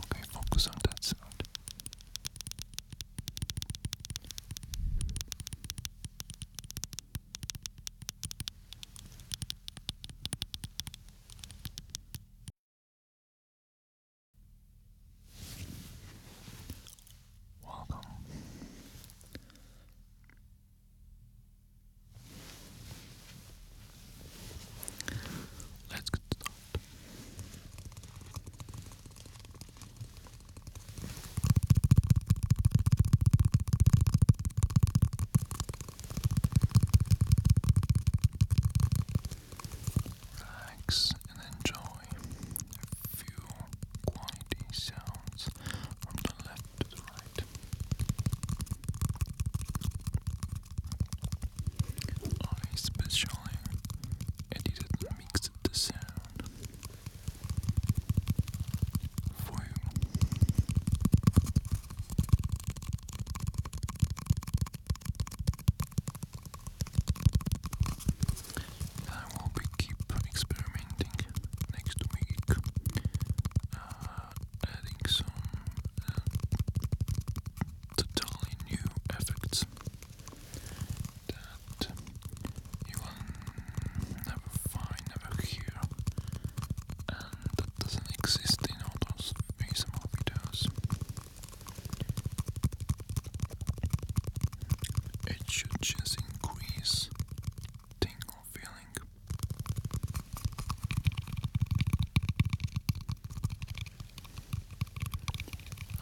Okay, focus on that sound. Welcome Let's get started. Relax and enjoy a few quality sounds from the left to the right. I especially edited mixed the sound for you. I will keep experimenting next week uh, adding some uh, totally new effects that you will never find, never hear, and that doesn't exist in all those videos. It should just increase tingle feeling.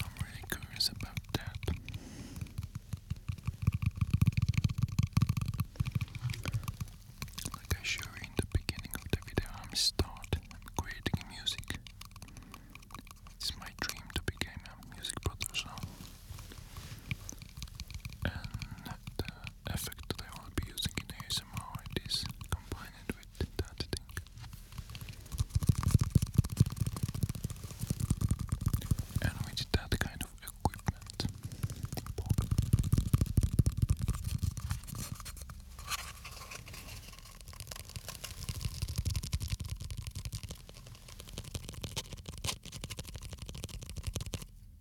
I'm really curious about that. Like I showed in the beginning of the video, I'm start creating music. It's my dream to become a music producer. And the effect that uh, I will be using in ASMR it is combined with that thing. And with that kind of equipment.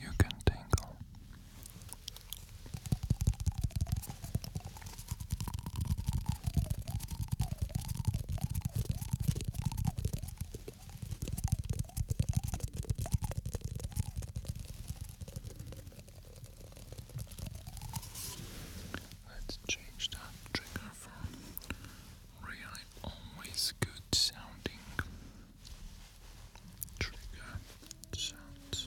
You can tingle. Let's change that trigger from really always good sounding trigger sounds.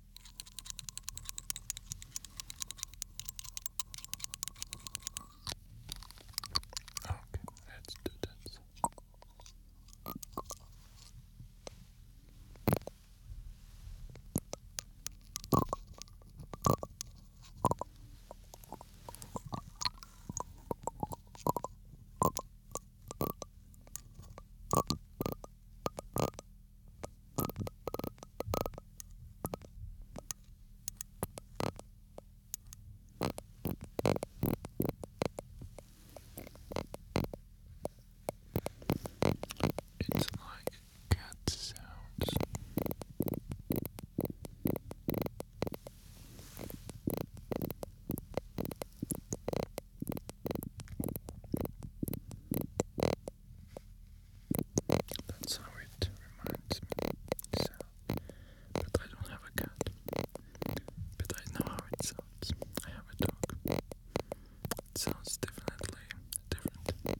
Okay, let's do that. It's like cat sounds. That's how it reminds me. but I don't have a cat. But I know how it sounds. I have a dog. sounds definitely different.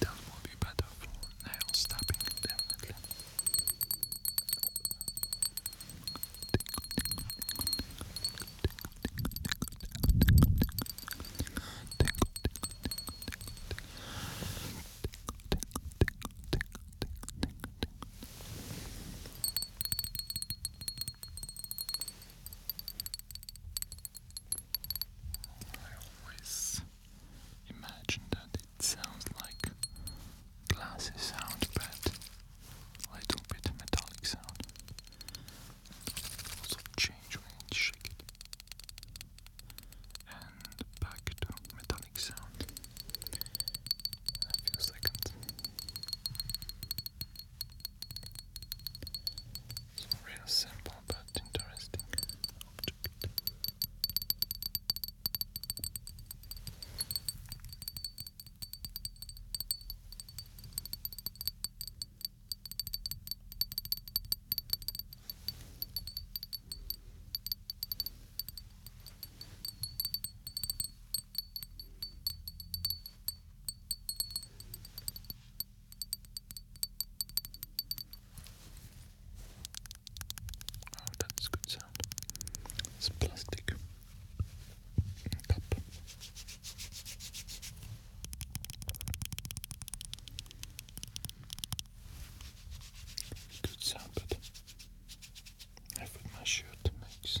That will be better for nail stabbing, definitely. I always imagine that it sounds like glassy sound, but little bit metallic sound. Also change when you And back to metallic sound a few seconds. It's a real simple but interesting object. Oh, that is good sound. It's a plastic Good sound, but I put my shirt makes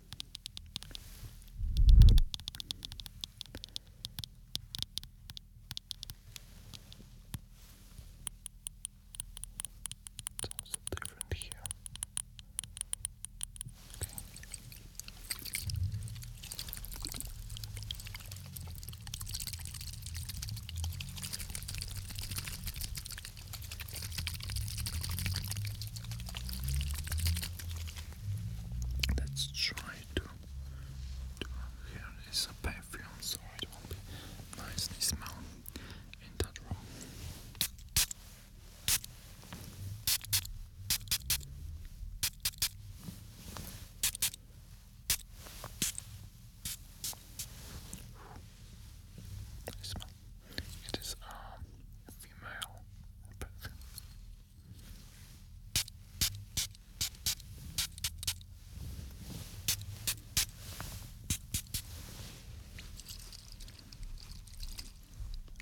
It's also different here. Okay. Let's try to. to here is a perfume, so it will be nicely smell in that room. I smell it is um, female person.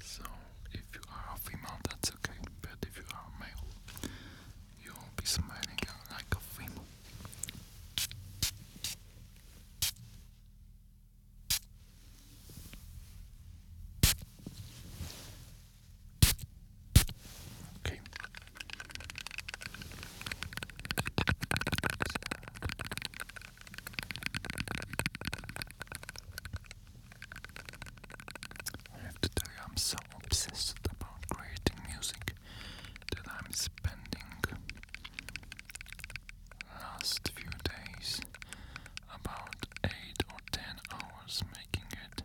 So, if you are a female, that's okay, but if you are male, you'll be smiling like a female. Okay. I I'm so obsessed about creating music that I'm spending last few days, about 8 or 10 hours making it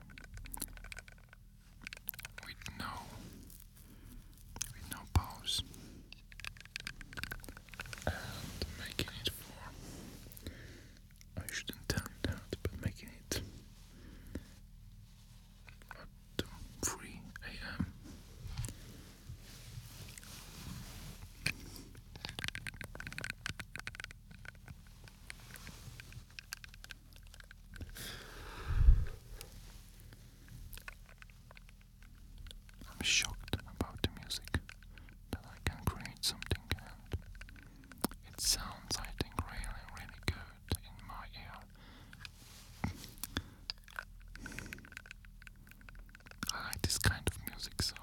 with no with no pause and making it for I shouldn't tell but making it at 3 a.m. I'm shocked about the music that I can create something and it sounds I think really really good in my ear. I like this kind of music, so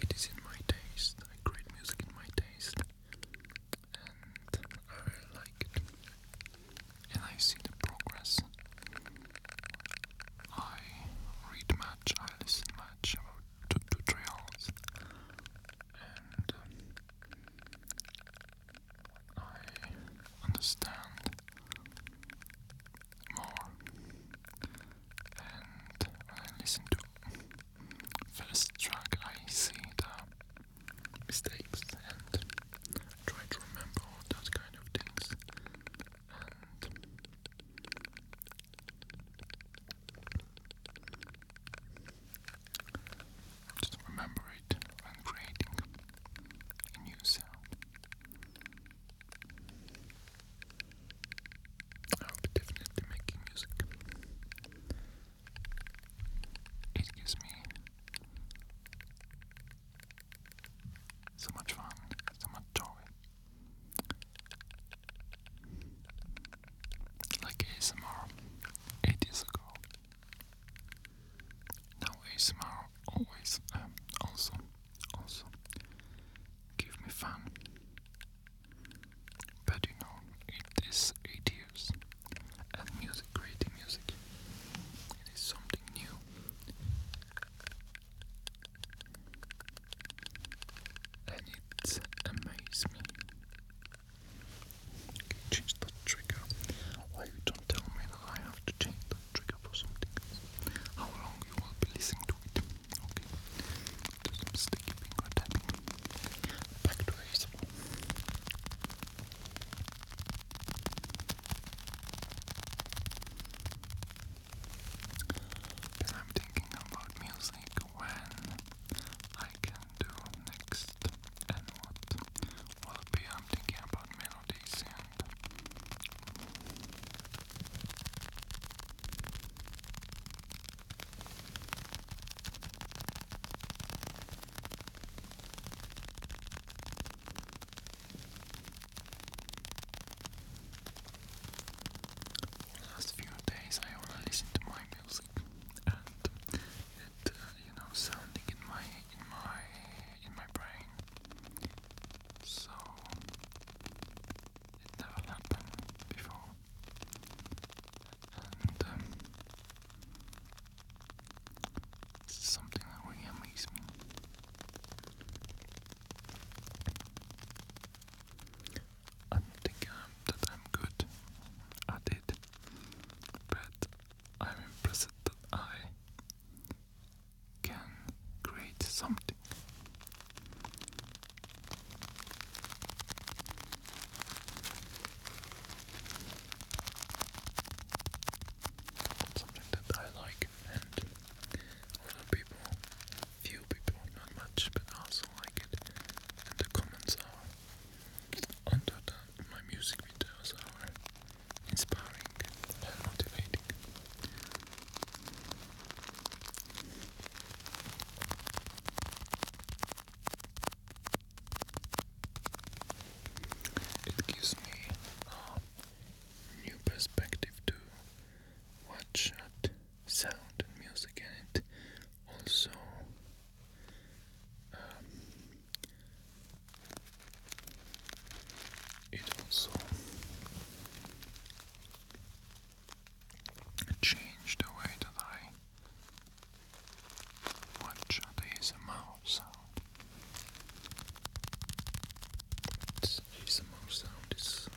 it is in my taste. I create music in my taste, and I like it. And I see the progress. I read much, I listen much about tutorials, I understand more, and I listen to first track, I see the mistakes and try to remember those kind of things, just remember it when creating a new sound. I'll be definitely making music. It gives me so much fun, so much joy. Like ASMR eight years ago. Now ASMR always um, also also give me fun. But you know it is eight years and music creating music. It is something new. And it amazes me Change the trigger. Why you don't tell me that I have to change the trigger for something How long you will listening to it? Okay. some sticky finger tapping. Back to ASMR. Because I'm thinking about music when I can do next artist and what will be? on the camp on melodies and last few days I only listen to my music and uh, you know, sounding in my in my in my brain. So it never happened before, and um, it's something that really amazes me. I don't think um, that I'm good at it, but I'm impressed that I can create something. Something that I like, and other people, few people, not much, but also like it. the comments are under the my music videos are inspiring and motivating. It gives me new perspective to watch at sound and music, and also um, it also changed the way that I watch the ASMR sound. It's ASMR sound is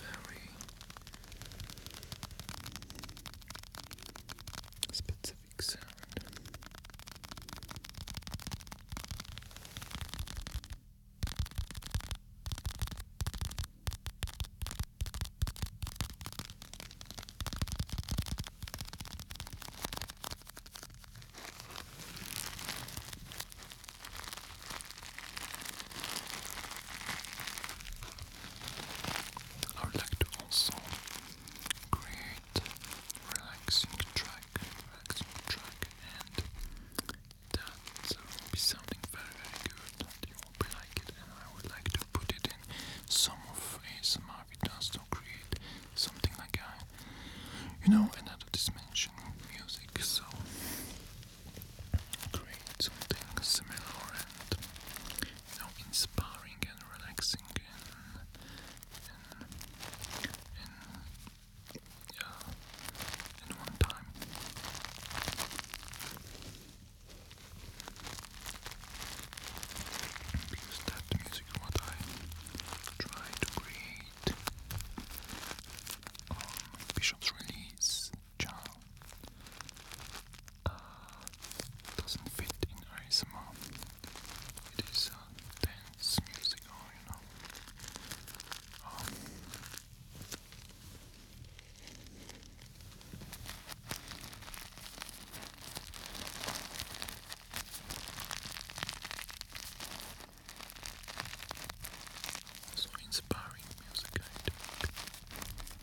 very specific specific I would like to also great relaxing track, relaxing track, and that will be something very, very good you will be like it. And I would like to put it in some of ASMR videos to create something like a, you know, another dimension music. So create something similar and you inspiring and relaxing and and, and in one time. Because that music what I try to create on um, Bishop's Release channel. Uh, doesn't fit in ASMR. It is a uh, dance music, oh, you know. Um, inspiring music, I think.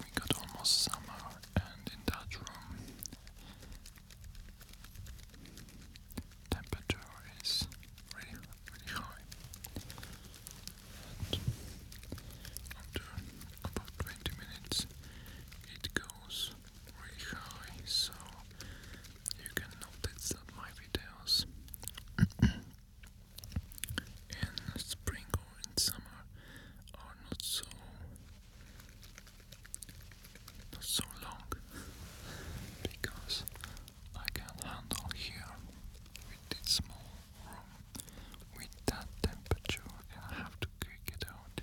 We got almost summer, and in that room, temperature is really, really high. after about 20 minutes, it goes really high, so you can notice that my videos in spring or in summer are not so not so long because I can handle here with this small room with that temperature I have to kick it out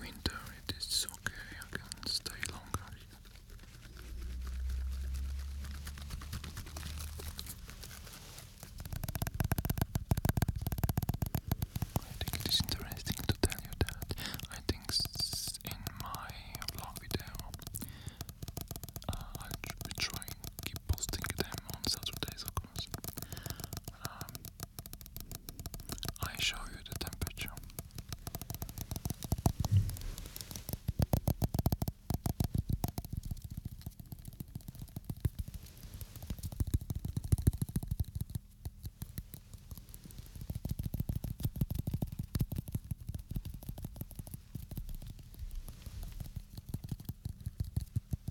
winter it is okay, I can stay longer. I think it is interesting to tell you that I think in my vlog video uh, I'll try and keep posting them on Saturdays of course. Um, I show you the temperature.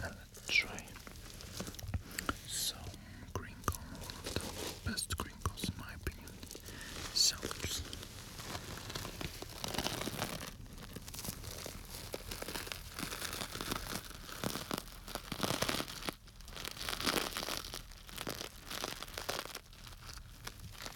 let's try some green corn, best green corns in my opinion. Sellers.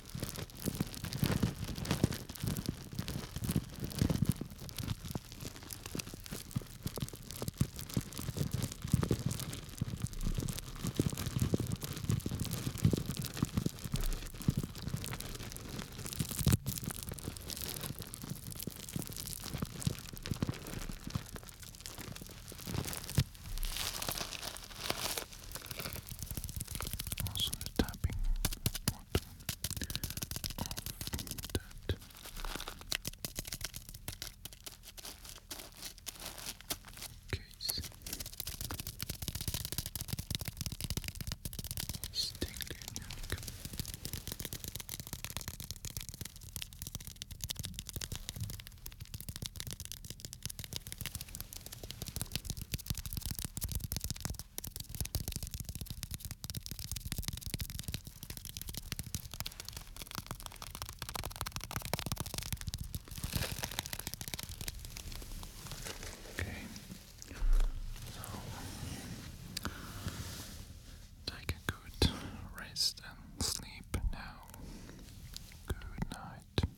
Also the tapping what of that. Case Stanley neck. Okay. So take a good rest and sleep now. Good night.